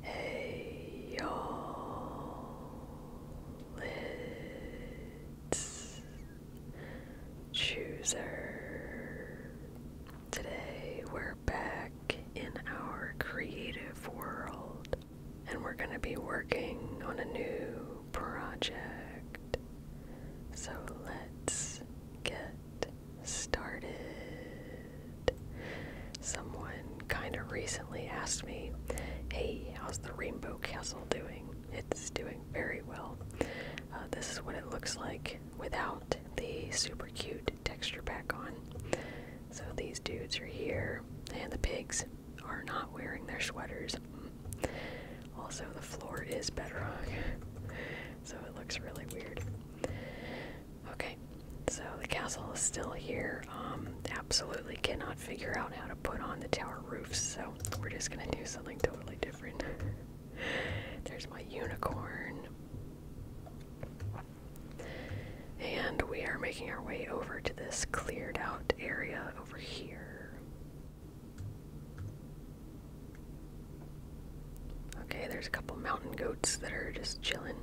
Hey y'all, it's Chooser. Today we're back in our creative world and we're going to be working on a new project. So let's get started. Someone kind of recently asked me, Hey, how's the Rainbow Castle doing? It's doing very well. Uh, this is what it looks like without the super cute texture pack on. So these dudes are here, and the pigs are not wearing their sweaters. Also, the floor is bedrock, so it looks really weird. Okay, so the castle is still here. Um, absolutely cannot figure out how to put on the tower roofs, so we're just gonna do something totally different. There's my unicorn. And we are making our way over to this cleared out area over here. Okay, there's a couple mountain goats that are just chilling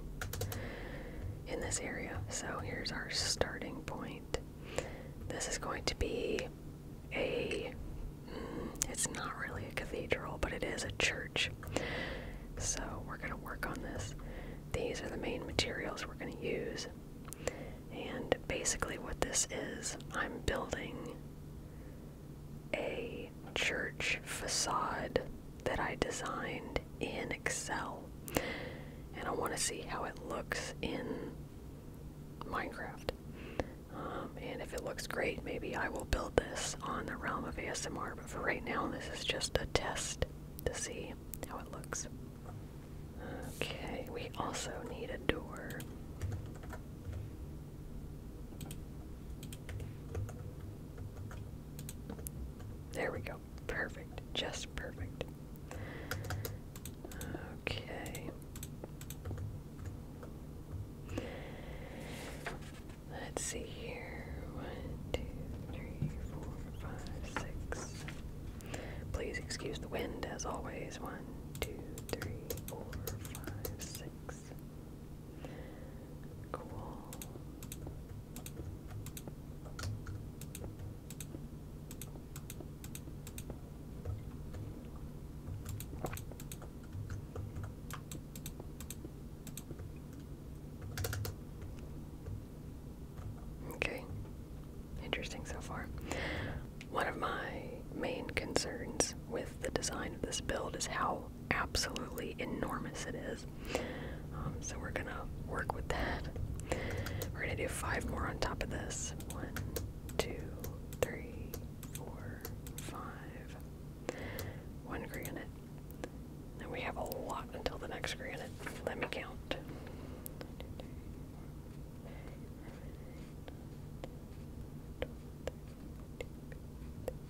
in this area. So here's our starting point. This is going to be a, mm, it's not really a cathedral, but it is a church. So we're going to work on this. These are the main materials we're going to use. And basically, what this is, I'm building a church facade that I designed in Excel. And I want to see how it looks in Minecraft. Um, and if it looks great, maybe I will build this on the realm of ASMR. But for right now, this is just a test to see how it looks. Okay, we also need a door. There we go. Perfect. Just perfect. Okay. Let's see here. One, two, three, four, five, six. Please excuse the wind as always. One, two, three, four, five, six. Cool. Okay, interesting so far. One of my main concerns with the design of this build is how absolutely enormous it is. Um, so we're gonna work with that. We're gonna do five more on top of this. One, two, three, four, five. One granite. And we have a lot until the next granite. Let me count.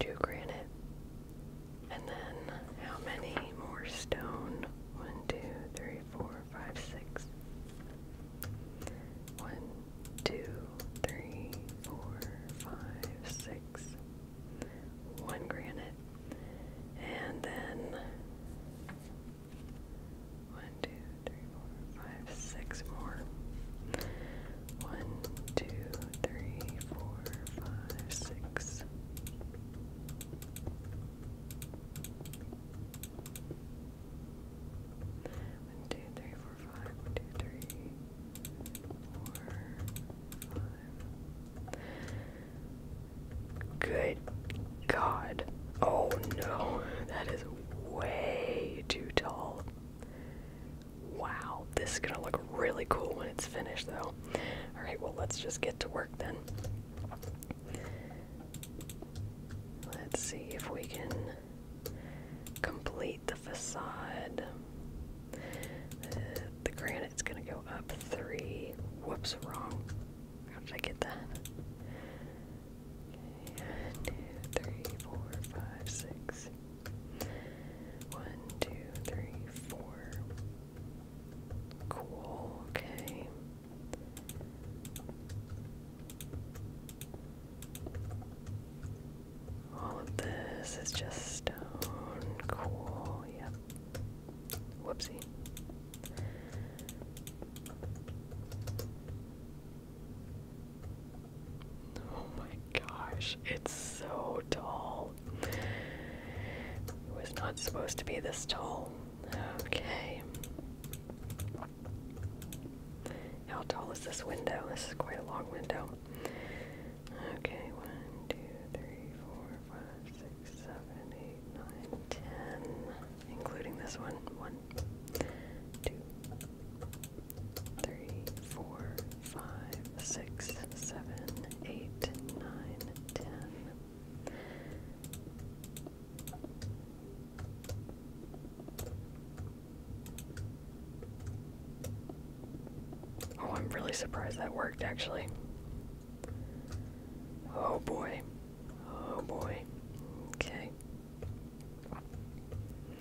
two granite, and then how many more stone? One, two, three, four, five, six. One, two, three, four, five, six. One granite, and then one, two, three, four, five, six more. One, two, three, four, five, six. One, two, three, four, five. One, two, three, four, five. Good God. Oh no, that is way too tall. Wow, this is gonna look really cool when it's finished, though. Alright, well, let's just get to work then. Let's see if we can complete the facade. Uh, the granite's gonna go up three. Whoops, wrong. How did I get that? one, two, three, four, five, six. One, two, three, four. Cool, okay. All of this is just Cool, yep. Whoopsie. Oh my gosh, it's so tall. It was not supposed to be this tall. Okay. How tall is this window? This is quite a long window. Okay, one, two, three, four, five, six, seven, eight, nine, ten. Including this one. One, two, three, four, five, six, seven, eight, nine, ten. Oh, I'm really surprised that worked actually. Oh boy. Oh boy. Okay.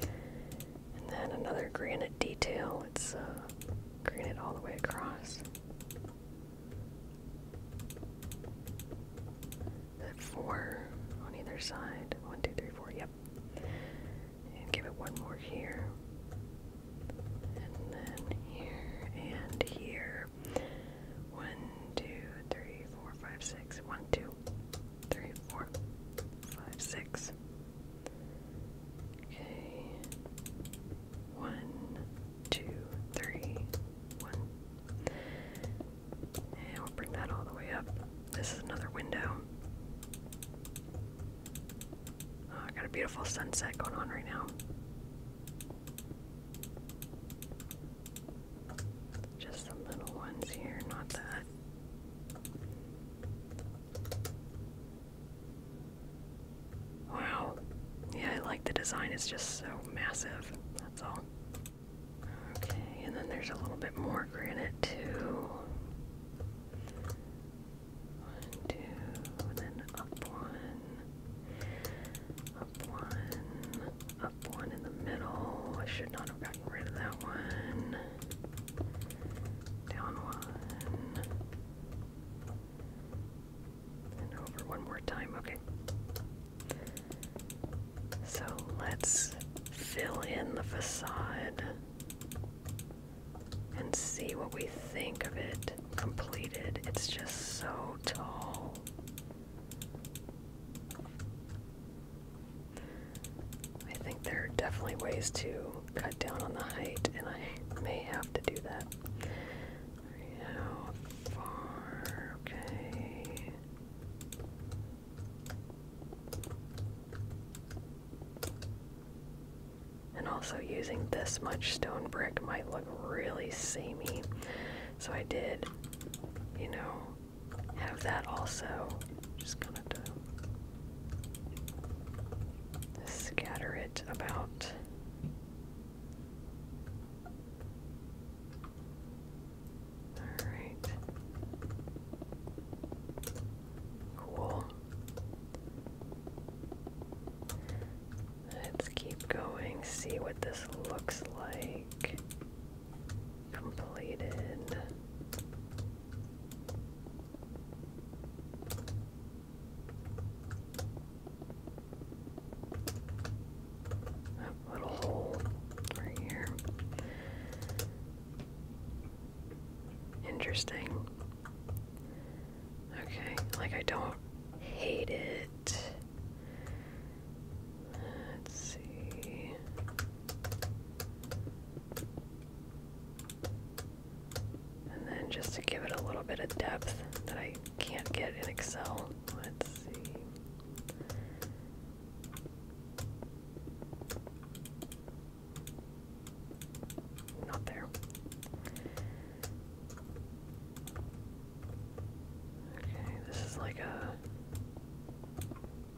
And then another granite detail. It's uh, granite all the way across. Four on either side. One, two, three, four. Yep. And give it one more here. And then here and here. One, two, three, four, five, six. One, two three, four, five, six. Okay. One, two, three, one. And we'll bring that all the way up. This is another window. Oh, I got a beautiful sunset going on right now. Just some little ones here, not that. Wow. Yeah, I like the design. It's just so massive. That's all. Okay, and then there's a little bit more granite too. One, two, then up one, up one, up one in the middle. I should not have gotten rid of that one. Down one. And over one more time. Okay. So let's fill in the facade and see what we think of it completed. It's just so tall. I think there are definitely ways to cut down on the height, and I may have to do that. How far? Okay. And also, using this much stone brick might look really samey. So I did, you know, have that also. Just kind of scatter it about. All right. Cool. Let's keep going, see what this looks like completed. That little hole right here. Interesting. Okay, like I don't hate it. Let's see. And then just to give it a little bit of depth that I can't get in Excel, let's see. Not there. Okay, this is like a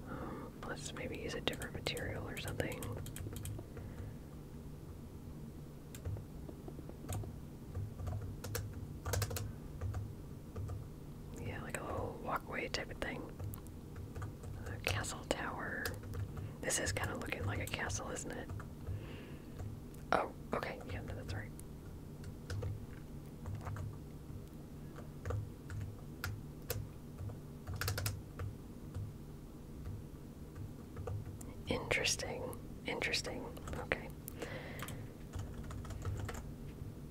um, let's maybe use a different material or something. Yeah, like a little walkway type of thing. A castle tower. This is kind of looking like a castle, isn't it? Oh, okay. Yeah, that's right. Interesting. Interesting. Okay.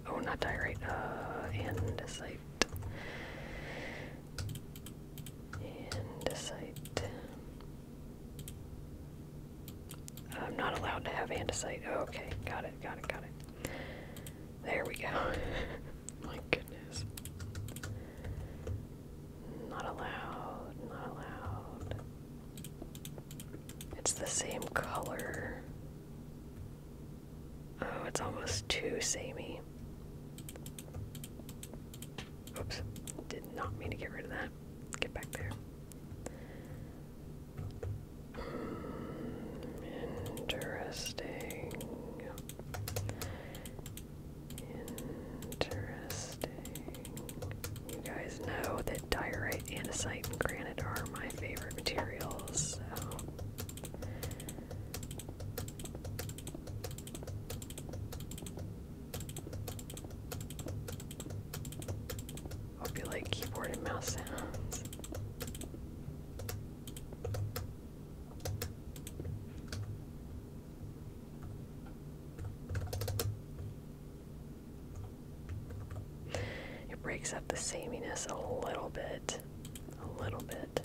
Oh, not diorite. Uh, andesite. Andesite. I'm not allowed to have andesite. Oh, okay, got it, got it, got it. There we go. My goodness. Not allowed, not allowed. It's the same color. Oh, it's almost too samey. Oops, did not mean to get rid of that. Get back there interesting. Interesting. You guys know that diorite, andesite, and granite are my favorite materials. So. Hope you like keyboard and mouse sounds. It breaks up the saminess a little bit, a little bit.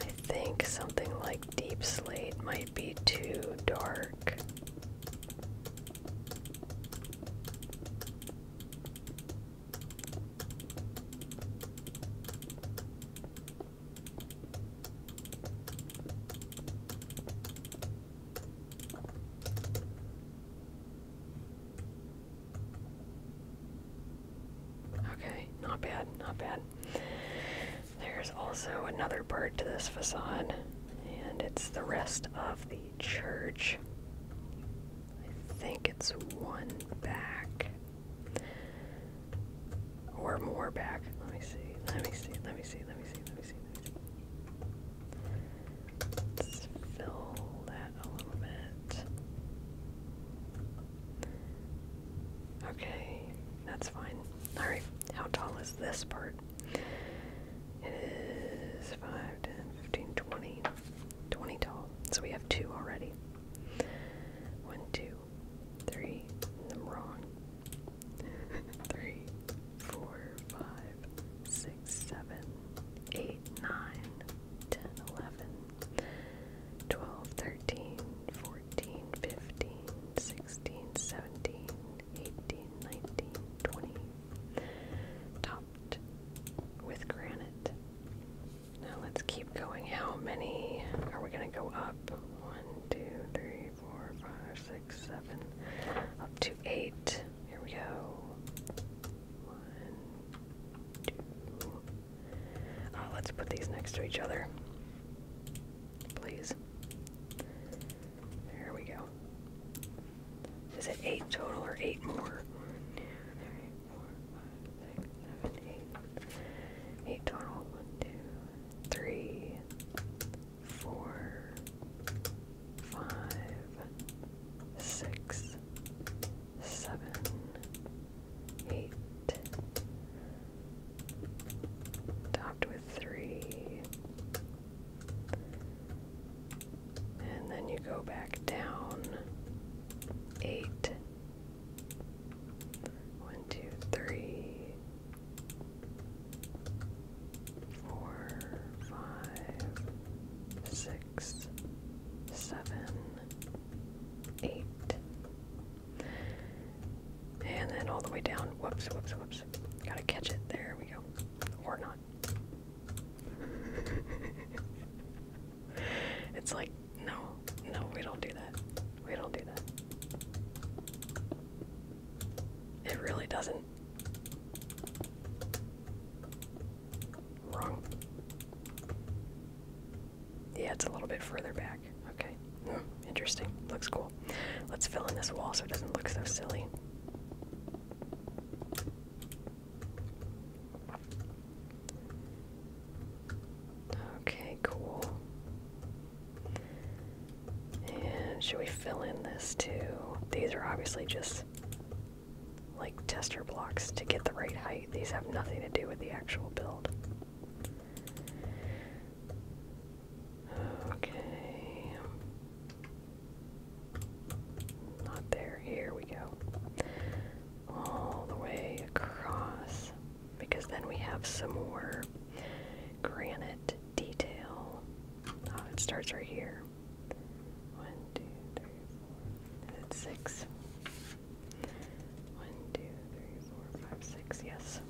I think something like Deep Slate might be too dark. Okay, not bad, not bad. There's also another part to this facade, and it's the rest of the church. I think it's one back. Or more back. Let me see. Let me see. Let me see. Let me see. Let me see. Let us fill that a little bit. Okay, that's fine. Alright. How tall is this part? It is 5, 10, 15, 20. 20 tall. So we have two already. One, two, three. I'm wrong. three, four, five, six, seven, eight, nine, ten, eleven, twelve, thirteen, fourteen. 15, 16, 17, 18, 19, 20. Topped with granite. Now let's keep going. How many are we going to go up? One, two, three, four, five, six, seven. Up to eight. Here we go. One, two. Ah, let's put these next to each other. Please. There we go. Is it eight total or eight more? five, six, seven, eight. Eight total. One, two, three, four, five, six, seven, eight, Topped with three. And then you go back down. Eight. One, two, and then all the way down. Whoops, whoops, whoops. Gotta catch it. There we go. Or not. it's like, no, no, we don't do that. We don't do that. It really doesn't. Wrong. Yeah, it's a little bit further back. Okay. Interesting. Looks cool. Let's fill in this wall so it doesn't look so silly. Okay, cool. And should we fill in this too? These are obviously just like tester blocks to get the right height. These have nothing to do with the actual build. Okay. Not there. Here we go. All the way across. Because then we have some more granite detail. Oh, it starts right here. One, two, three, four. That's six. One, two, three, four, five, six, yes.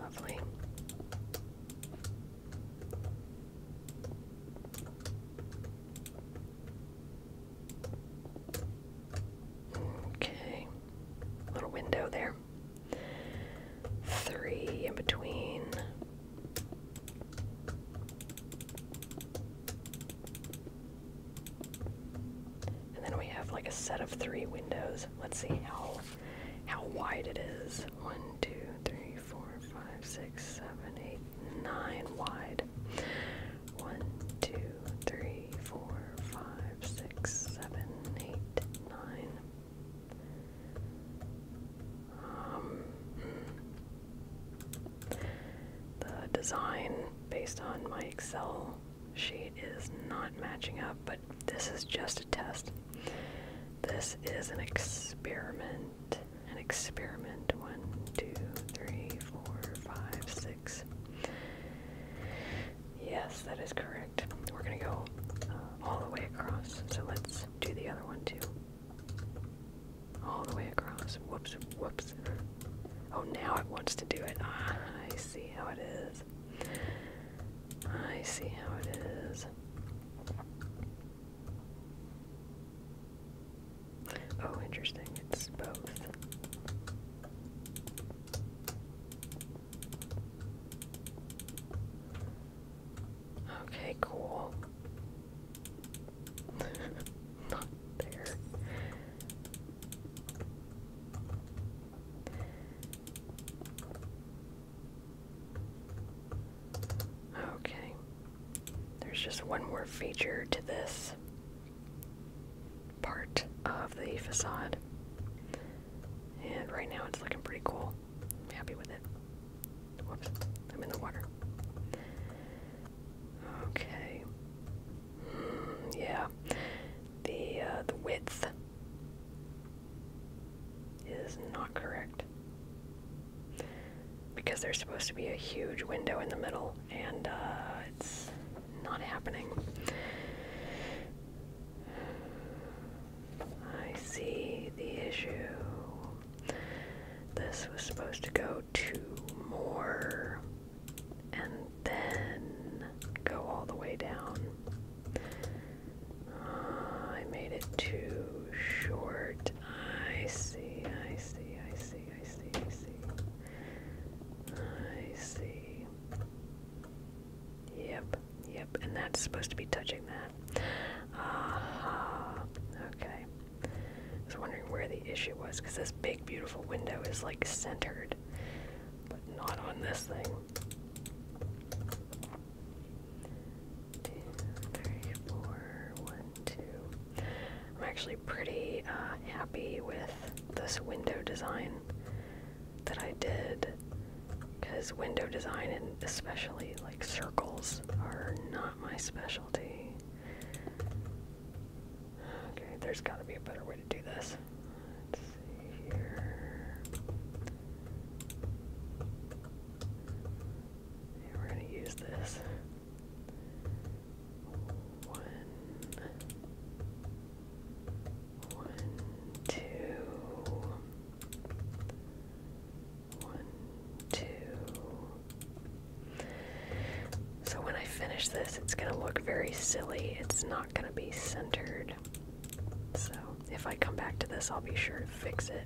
Lovely. Okay, little window there. Three in between. And then we have like a set of three windows. Let's see how how wide it is. One, two, three, four, five, six, seven, eight, nine wide. One, two, three, four, five, six, seven, eight, nine. Um, hmm. The design based on my Excel sheet is not matching up, but this is just a test. This is an experiment. An experiment. One, two, three, four, five, six. Yes, that is correct. We're going to go uh, all the way across. So let's do the other one too all the way across. Whoops, whoops. Oh, now it wants to do it. Ah, I see how it is. I see how it is. Oh, interesting. It's both. Okay, cool. Not there. Okay. There's just one more feature to this part of the facade. And right now it's looking pretty cool. I'm happy with it. Whoops, I'm in the water. Okay. yeah. The uh, the width is not correct because there's supposed to be a huge window in the middle, and uh, it's not happening. I see the issue. This was supposed to go Two more and then go all the way down. Uh, I made it too short. I see, I see, I see, I see, I see. I see. Yep, yep, and that's supposed to be touching that. Aha, okay. I was wondering where the issue was because this big, beautiful window is like centered, but not on this thing. Two, three, four, one, two. I'm actually pretty uh, happy with this window design that I did because window design and especially like circles are not my specialty. Okay, there's gotta be a better way to do this. we're gonna use this. One, one, two, one, two. So when I finish this, it's going to look very silly. It's not going to be centered. So if I come back to this, I'll be sure to fix it.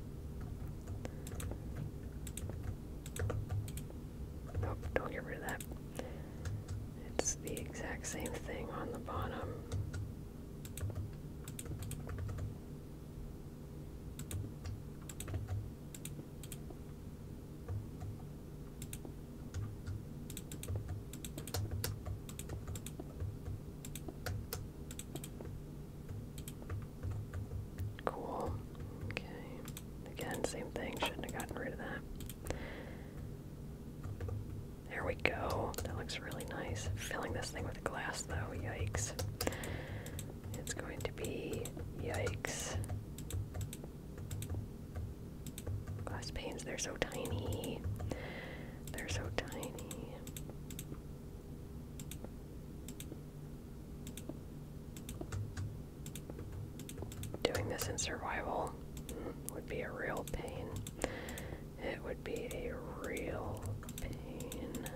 Nope, oh, don't get rid of that. It's the exact same thing on the bottom. Cool. Okay. Again, same thing. Shouldn't have gotten rid of that. There we go. That looks really nice. Filling this thing with glass, though. Yikes. It's going to be yikes. Glass panes, they're so tiny. They're so tiny. Doing this in survival would be a real pain. It would be a real pain.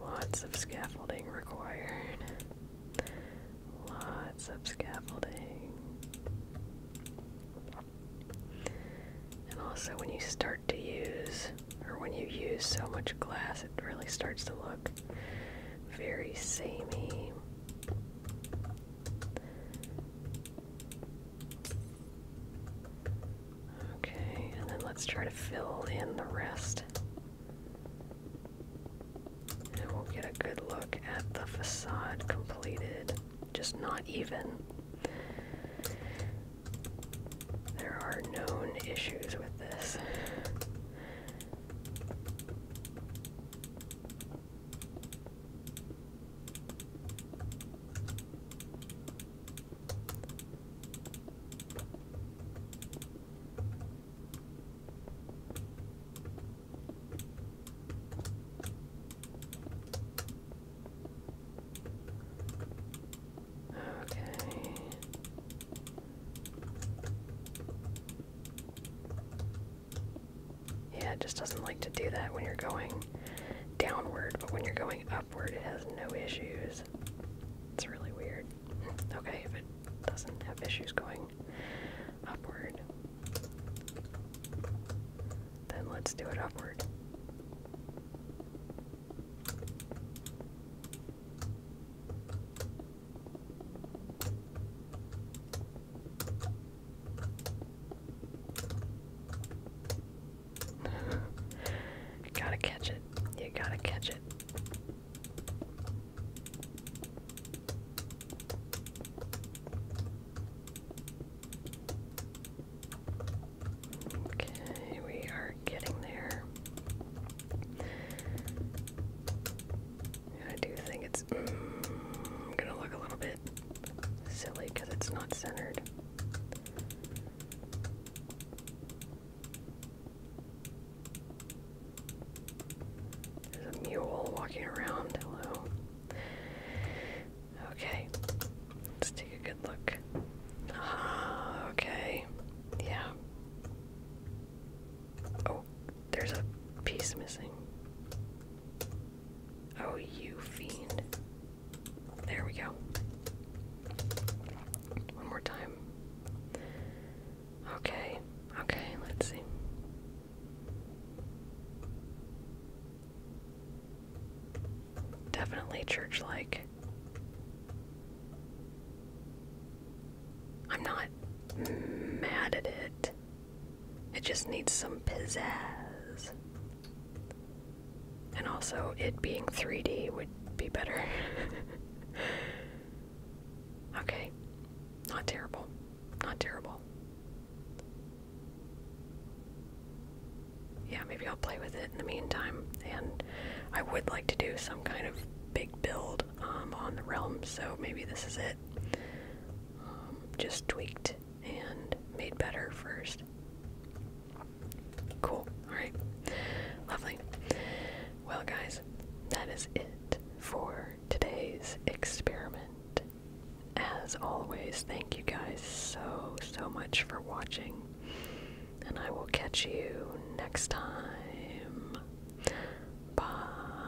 Lots of scaffolding required. Lots of scaffolding. And also, when you start to use, or when you use so much glass, it really starts to look very samey. Okay, and then let's try to fill in the rest. And we'll get a good look at the facade completed. Just not even. There are known issues with this. Okay. Yeah, it just doesn't like to do that when you're going downward, but when you're going upward, it has no issues. It's really weird. Okay, if it doesn't have issues going upward, then let's do it upward gotta catch it. You gotta catch it. Okay, we are getting there. I do think it's mm, gonna look a little bit silly because it's not centered. There's a mule walking around. Hello. Okay. Let's take a good look. Ah, okay. Yeah. Oh, there's a piece missing. Oh, you fiend. There we go. One more time. Okay, okay, let's see. Definitely church like. I'm not mad at it. It just needs some pizzazz. And also, it being 3D would be better. okay. Not terrible. Not terrible. Yeah, maybe I'll play with it in the meantime. And I would like to do some kind of big build um, on the realm, so maybe this is it. Um, just tweaked and made better first. Cool. Alright. Lovely. Well, guys, that is it for today's experiment. As always, thank you guys so, so much for watching. And I will catch you next time. Bye.